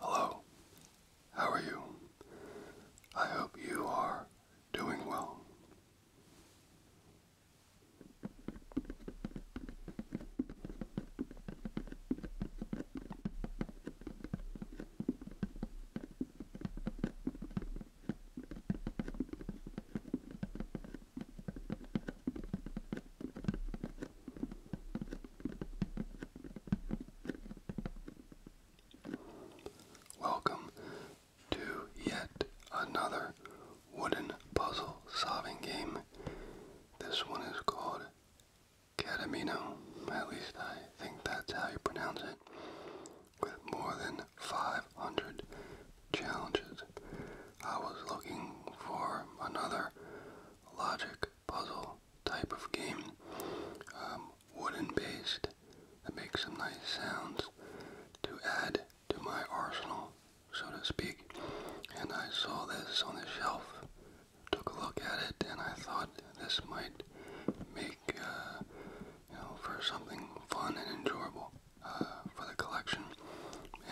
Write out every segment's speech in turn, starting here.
Hello, how are you? I hope you are doing well. Welcome to yet another wooden puzzle solving game. This one is called Catamino, at least I think that's how you pronounce it, with more than 500 challenges. I was looking for another logic puzzle type of game, um, wooden based, that makes some nice sounds to add to my arsenal, so to speak, and I saw this on the shelf took a look at it, and I thought this might make, uh, you know, for something fun and enjoyable uh, for the collection,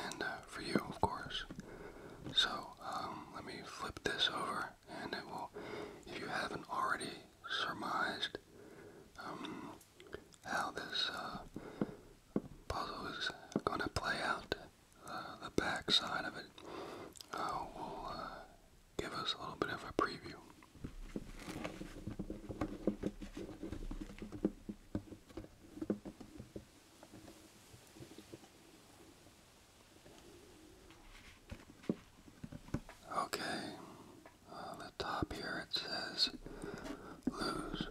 and uh, for you, of course. So um, let me flip this over, and it will, if you haven't already surmised um, how this puzzle is going to play out, the back side of it uh, give us a little bit of a preview. Okay, the top here it says lose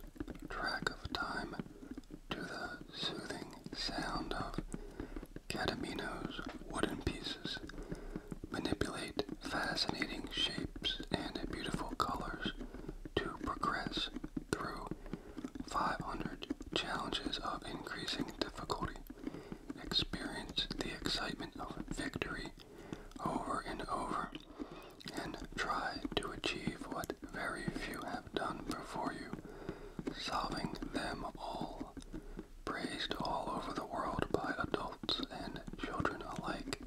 track of time to the soothing sound of Catamino's wooden pieces manipulate fascinating shapes and beautiful colors to progress through 500 challenges of increasing difficulty. Experience the excitement of victory over and over and try to achieve what very few have done before you, solving them all praised all over the world by adults and children alike.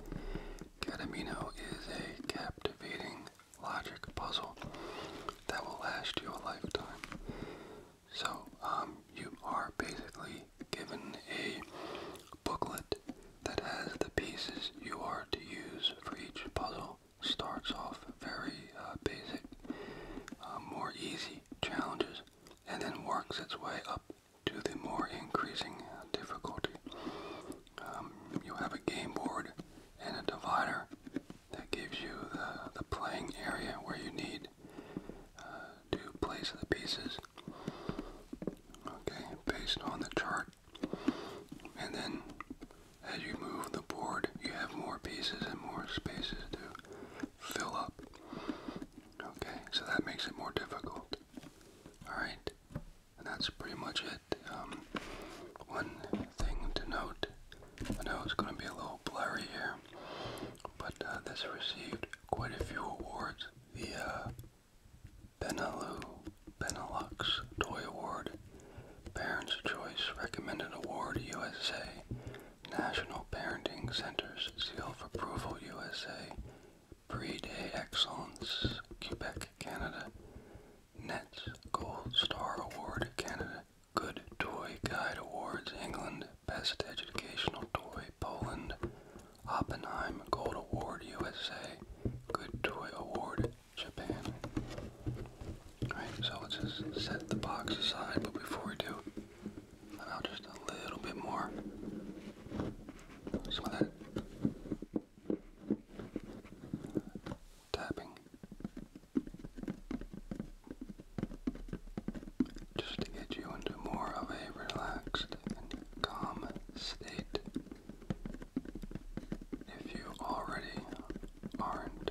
Katamino is a captivating logic puzzle that will last you a lifetime. So, um, you are basically given a booklet that has the pieces you are to use for each puzzle. Starts off very uh, basic uh, more easy challenges and then works its way up to the more increasing uh, difficulty. Um, you have a game board and a divider that gives you the, the playing area where you need uh, to place the pieces. Okay, based on the chart. And then as you move the board, you have more pieces and more spaces to fill up. Okay, so that makes it more difficult. Alright, and that's pretty much it. Um, one thing to note I know it's going to be a little blurry here, but uh, this received quite a few awards. The uh, Benelu, Benelux Toy Award, Parents' Choice Recommended Award USA, National Parenting Center's Seal of Approval USA, Pre-Day Excellence Quebec Canada, NETS Gold Star Award Canada, Good Toy Guide Awards England, Best Educational Toy Poland, Oppenheim Gold Award USA, Good Toy Award Japan. Alright, so let's just set the box aside, but before we do, let out just a little bit more. Some of that tapping. Just to get you into more of a relaxed calm state. If you already aren't.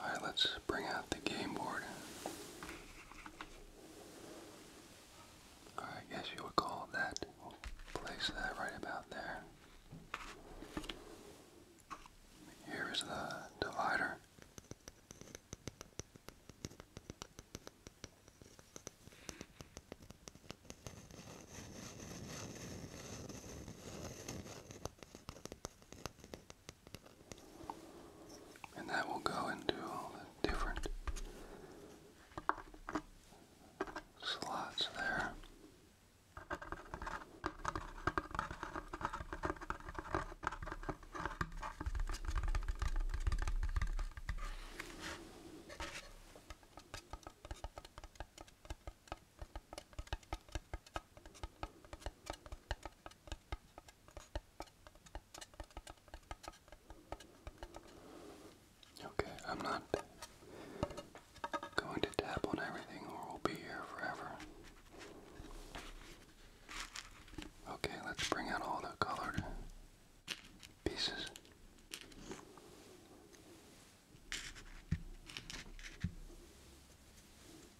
Alright, let's bring out the game board. I guess you would call that. place that right about there. Here is the divider. And that will go into all the different slots there. Okay, I'm not going to tap on everything or we'll be here forever. Okay, let's bring out all the colored pieces.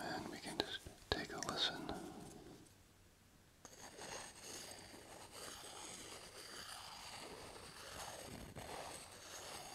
And we can just take a listen.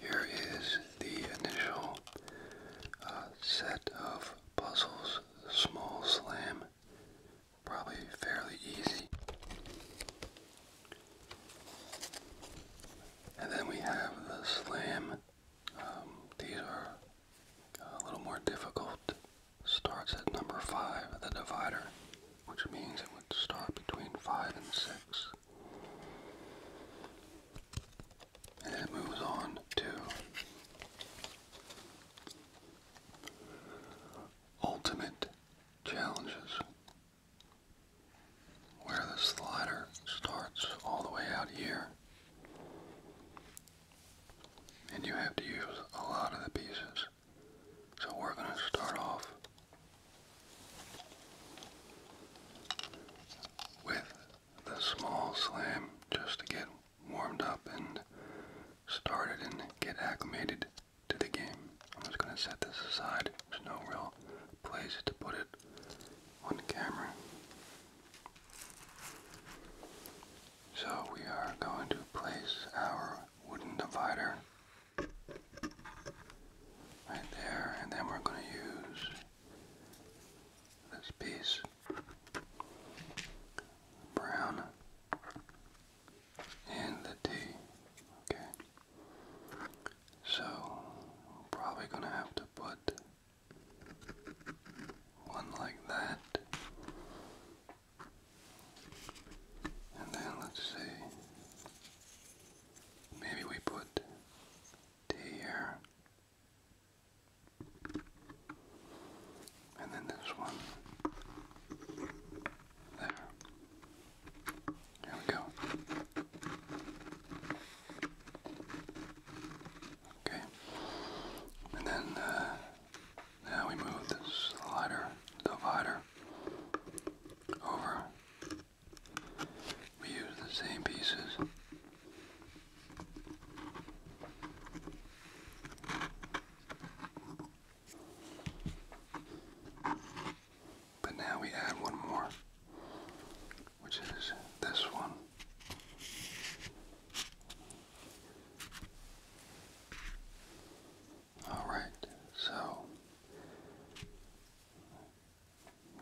Here is the initial uh, set of puzzles, small slam, probably fairly easy. And then we have the slam. Um, these are uh, a little more difficult. Starts at number 5, the divider, which means it would start between 5 and 6. And it moves on to ultimate challenges, where the slider starts all the way out here. And you have to use a lot of the pieces. So we're going to start off with the small slam just to get warmed up and started and get acclimated to the game. I'm just going to set this aside. There's no real place to put it on camera. So we are going to place our wooden divider right there, and then we're going to use this piece brown and the tea. Okay. So I'm probably gonna have to put one like that. And then let's see. Maybe we put T here. And then this one there. There we go. Okay. And then uh, now we move the slider divider over we use the same pieces. But now we add one more, which is this one. Alright, so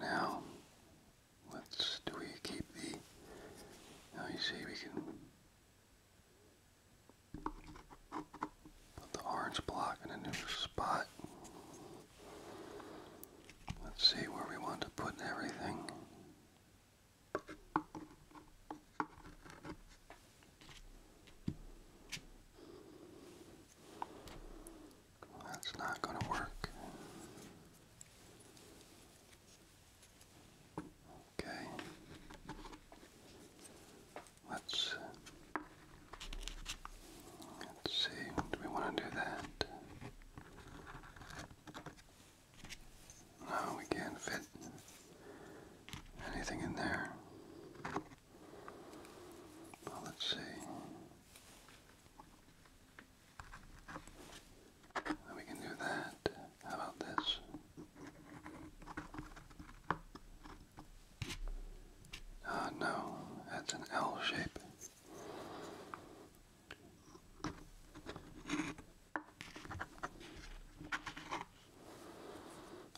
now, let do we keep the, now you see we can put the orange block in a new spot. Let's see where we want to put everything. That's not going to work. Okay. Let's let's see. Do we want to do that? No, we can't fit anything in there. Well, let's see. we can do that. How about this? Ah, no, that's an L shape.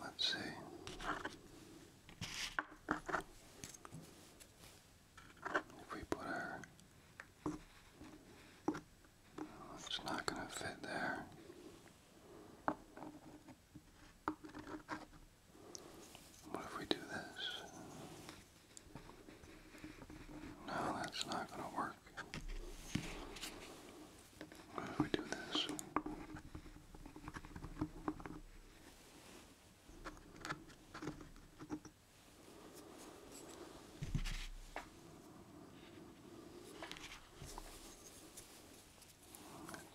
Let's see. If we put her, it's not going to fit there. What if we do this? No, that's not going to work. What if we do this? Let's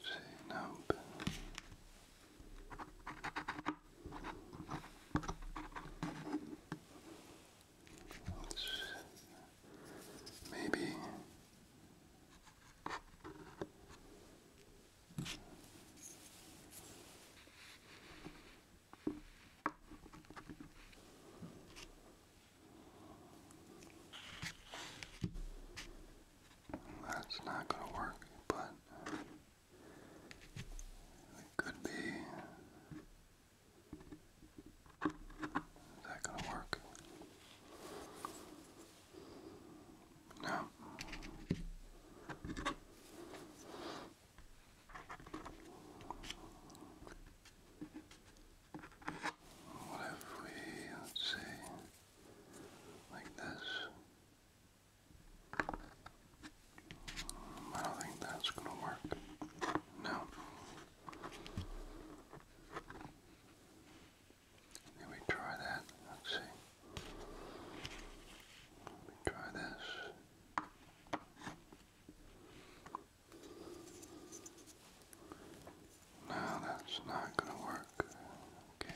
see, nope. Let's maybe that's not going to work, but it could be. Is that going to work? No. What if we, let's see, like this? I don't think that's going to work. No. Let me try that. Let's see. Let me try this. No, that's not going to work. Okay.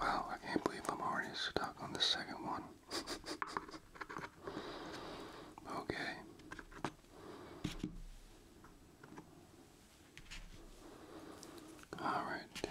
Wow, I can't believe I'm already stuck on the second one. okay. All right.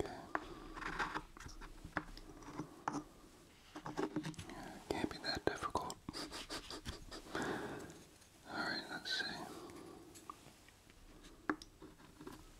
Okay. can't be that difficult. All right, let's see.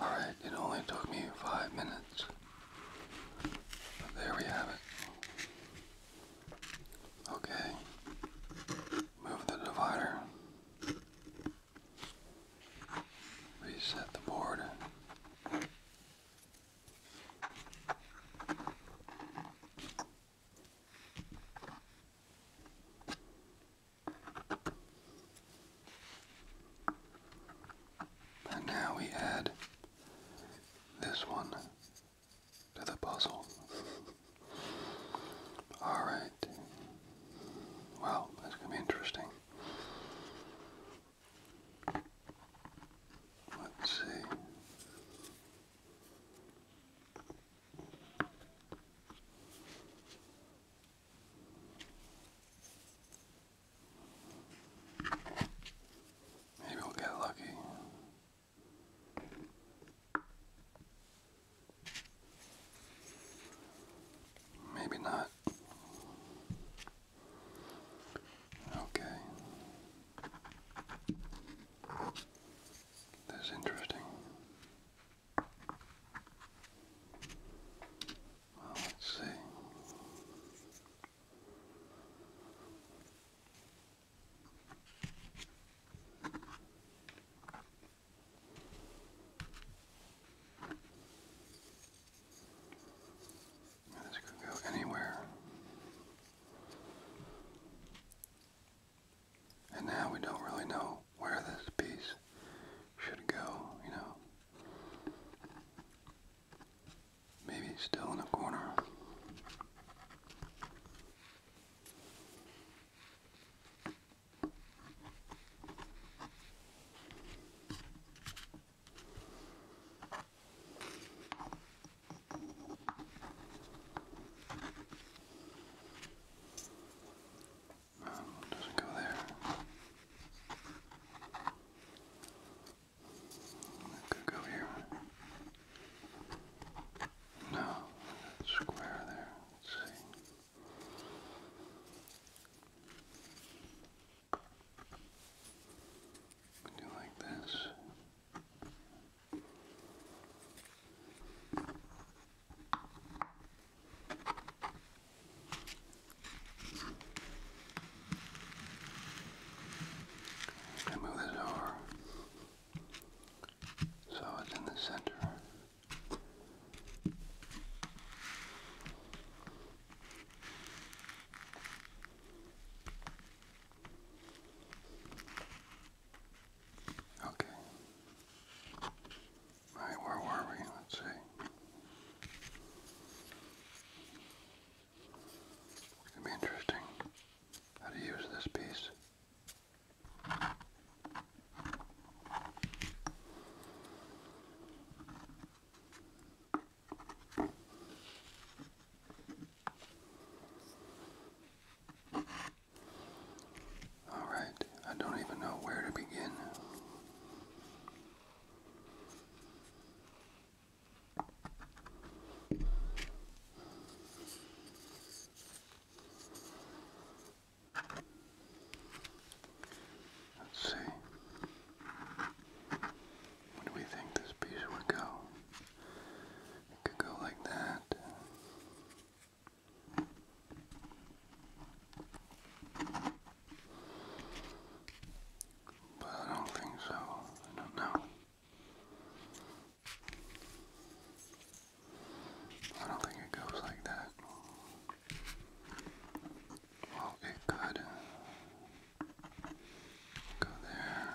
All right, it only took me five minutes. there we have it. Okay, move the divider. Reset the board. And now we add this one to the puzzle. All right right. that's going to be interesting. Let's see. Maybe we'll get lucky. Maybe not. Okay. That's interesting. Well, let's see. This could go anywhere. And now we don't really know where this piece should go, you know. Maybe still in a corner. Um, doesn't go there. could go here. No, square there. Let's see. We do like this. I move this over so it's in the center. Okay. All right, where were we? Let's see. It's going to be interesting how to use this piece. All right, I don't even know where to begin. Let's see. Where do we think this piece would go? It could go like that. But I don't think so. I don't know. I don't think it goes like that. Well, it could uh, go there.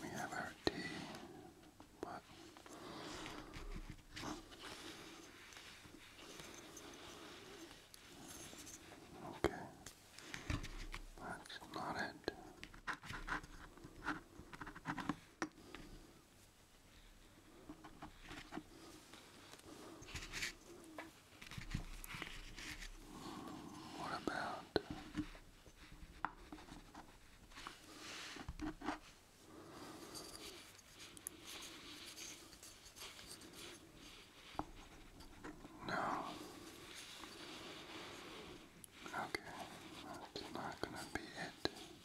We have our tea, but okay, that's not it. What about no? Okay, that's not going to be it.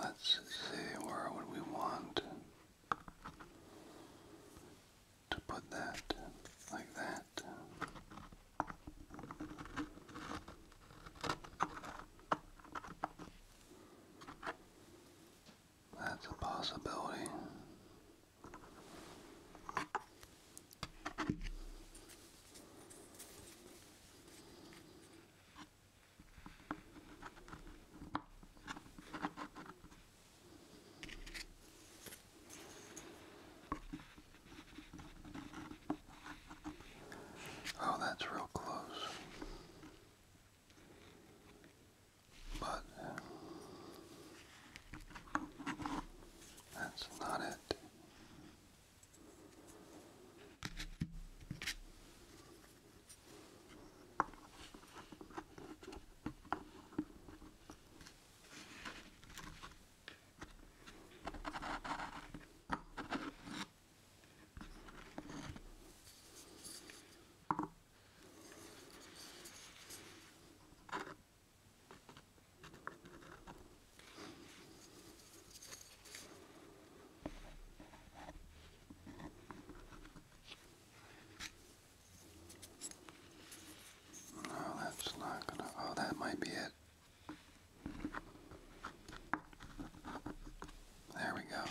Let's see where would we want to put that like that. That's a possibility. Oh, that's real close. But that's not it. No, that's not gonna. Oh, that might be it. There we go.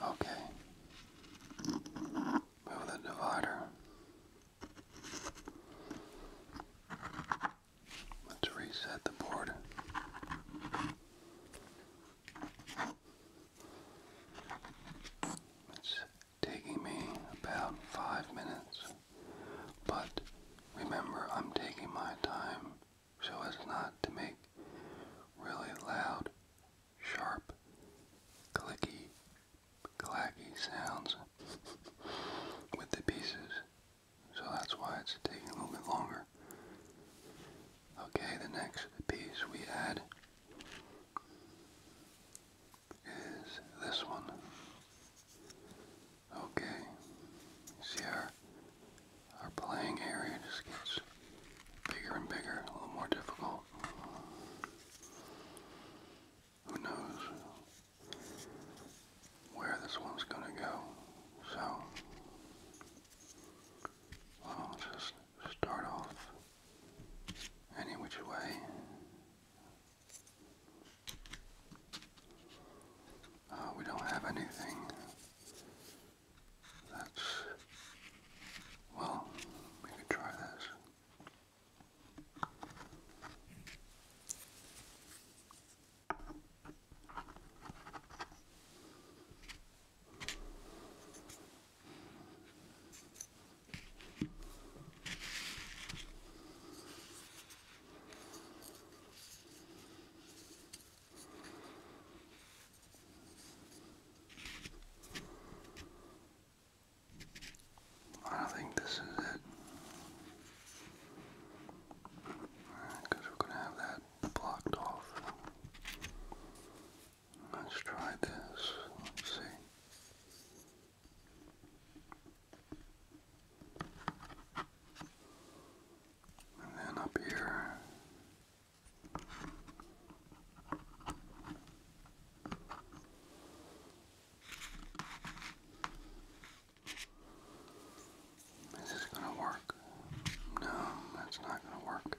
Okay. Move the divider. Let's reset the board. It's taking me about five minutes, but remember I'm taking my time so as not to make really loud, sharp, clicky, clacky sounds with the pieces. So that's why it's taking a little bit longer. Okay, the next piece we add is this one. Okay, see our, our playing area just gets bigger and bigger, a little more difficult. Who knows where this one's gonna go, so i just start off any which way. Uh, we don't have anything that's, well, we could try this. I don't think this is it. Because we're going to have that blocked off. Let's try this. Let's see. And then up here. Is this going to work? No, that's not going to work.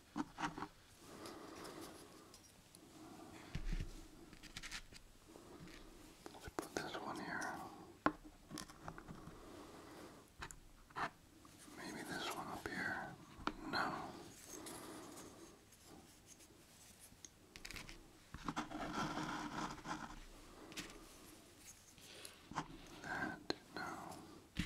Let's put this one here. Maybe this one up here. No. That, no.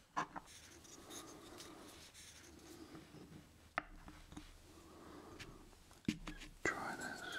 Try this.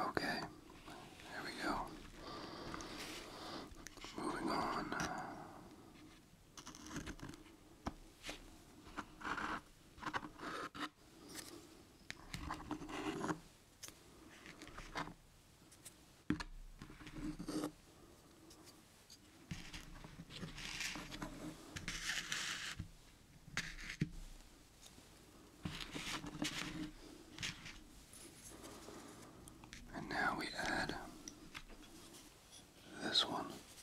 Okay, there we go. Moving on. And now we add this one.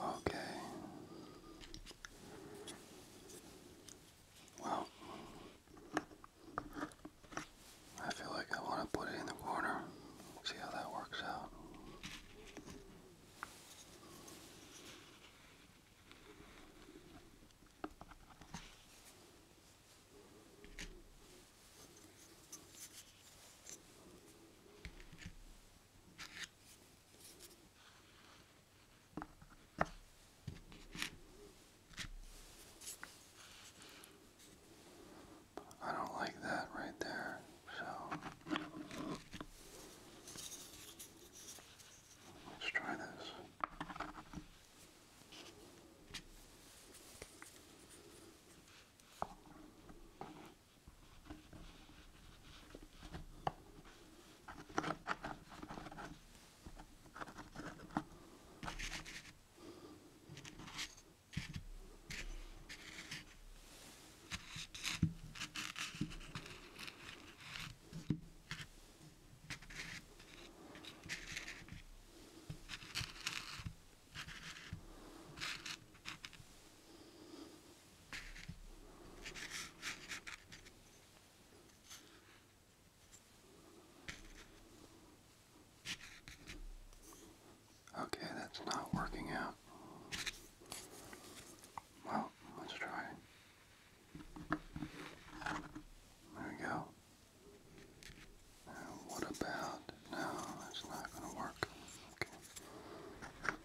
Okay. Well, I feel like I want to put it in the corner. See how that works out. I don't like that right there, so Let's try this. Okay, that's not working out. Well, let's try there we go. what about? No, that's not going to work. Okay.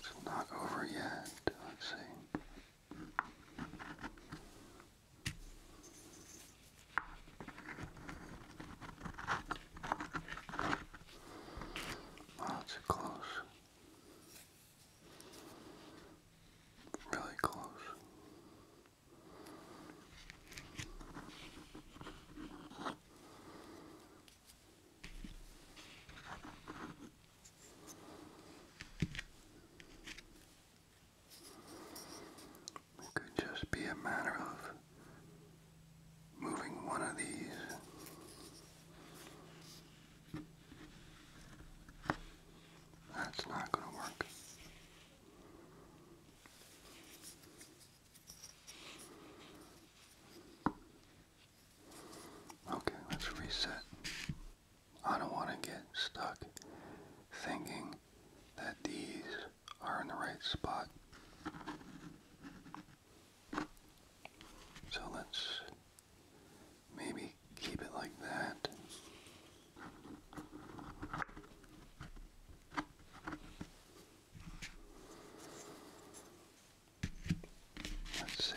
It's not over yet. Let's see. Oh, it's close. Really close. It could just be a matter of moving one of these that's not going to work. Okay, let's reset. I don't want to get stuck thinking that these are in the right spot. So let's maybe keep it like that. Let's see.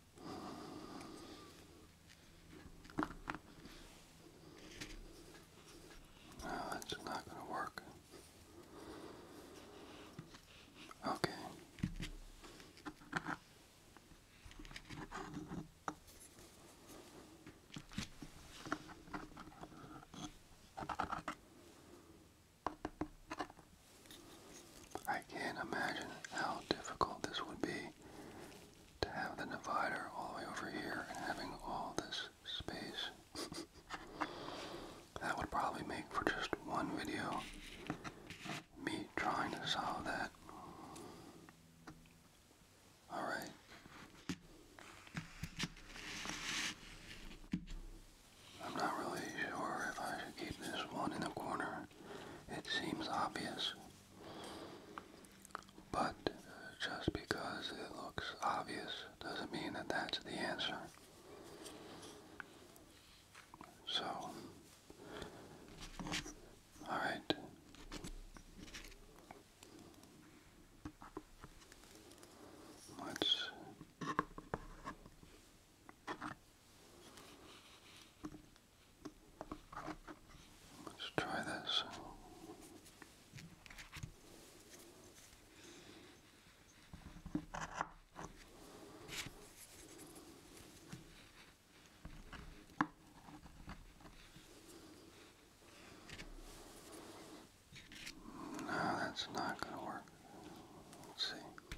No, oh, that's not going to work. Okay. I can't imagine how difficult this would be to have the divider all the way over here and having all this space. that would probably make for just one video. Me trying to solve that. Alright. I'm not really sure if I should keep this one in the corner it seems obvious. But uh, just because it looks obvious doesn't mean that that's the answer. So, alright. Let's Let's try this. No, that's not going to work. Let's see.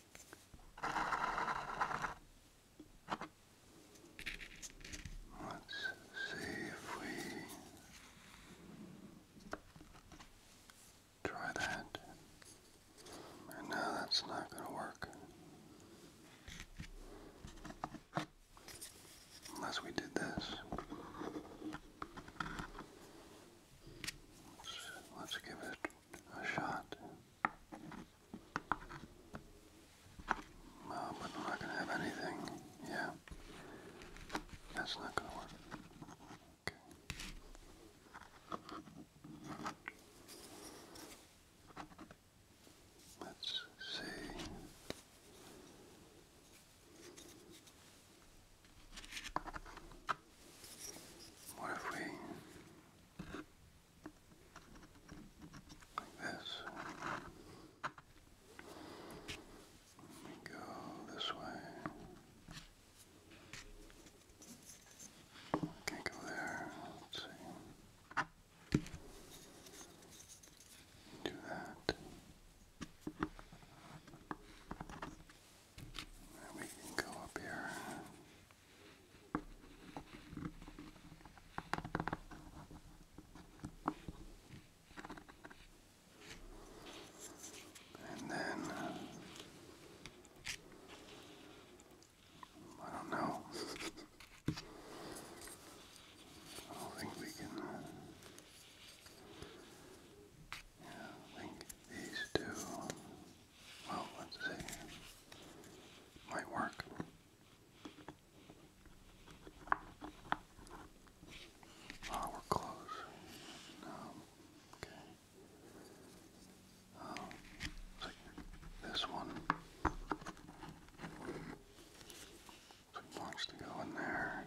Let's see if we try that. And that's not going to work. Unless we did this. let's give it a shot. Well, but I'm not going to have anything. Yeah. That's not going to work. Okay. Let's see. What if we like this. Let me go this way. Can't go there. Let's see. Do that. And we can go up here. And then I don't know. I don't think we can. Uh, yeah, link these two. Well, let's see. Might work. Oh, we're close. Okay. Um, this one. So he to go in there.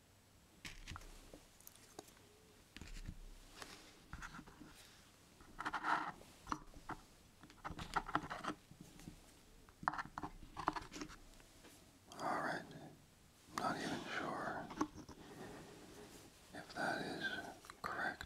All right. I'm not even sure if that is correct.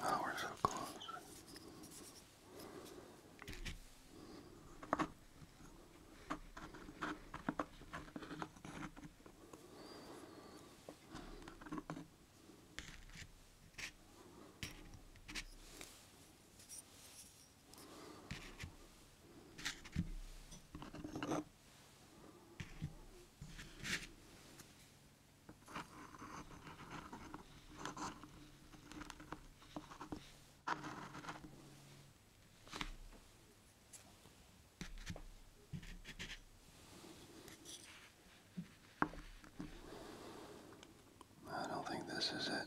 Wow, we're so close. I don't think this is it.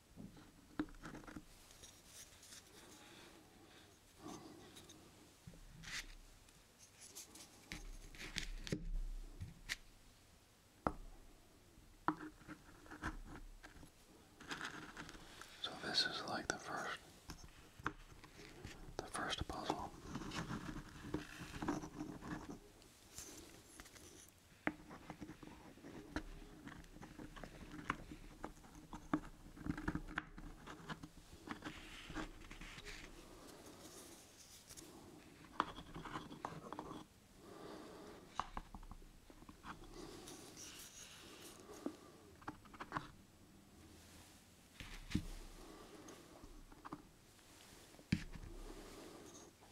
So this is like the first the first puzzle.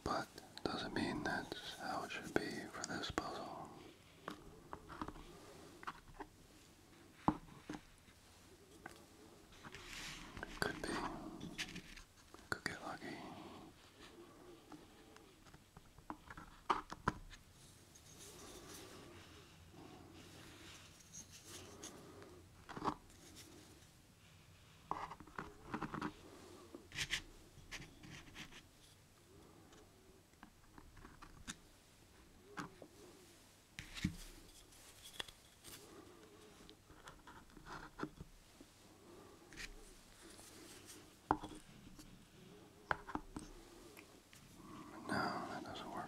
But doesn't mean that's how it should be for this puzzle. Could be. Could get lucky. No, that doesn't work.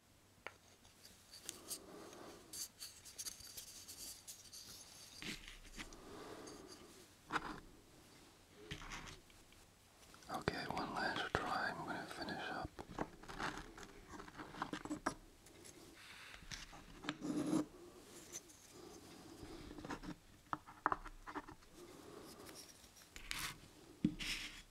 Okay, one last try. I'm going to finish up.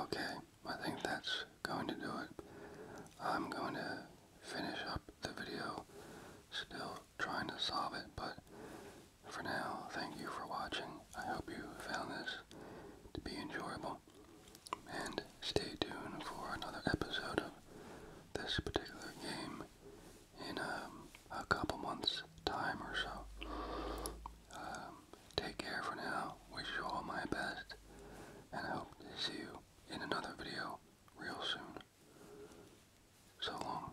Okay, I think that's going to do it. I'm going to finish up the video, still trying to solve it, but for now, thank you for watching. I hope you found this to be enjoyable, and stay tuned for another episode of this particular game in um, a, couple months' time or so. Um, take care for now. Wish you all my best. And I hope to see you in another video real soon. So long.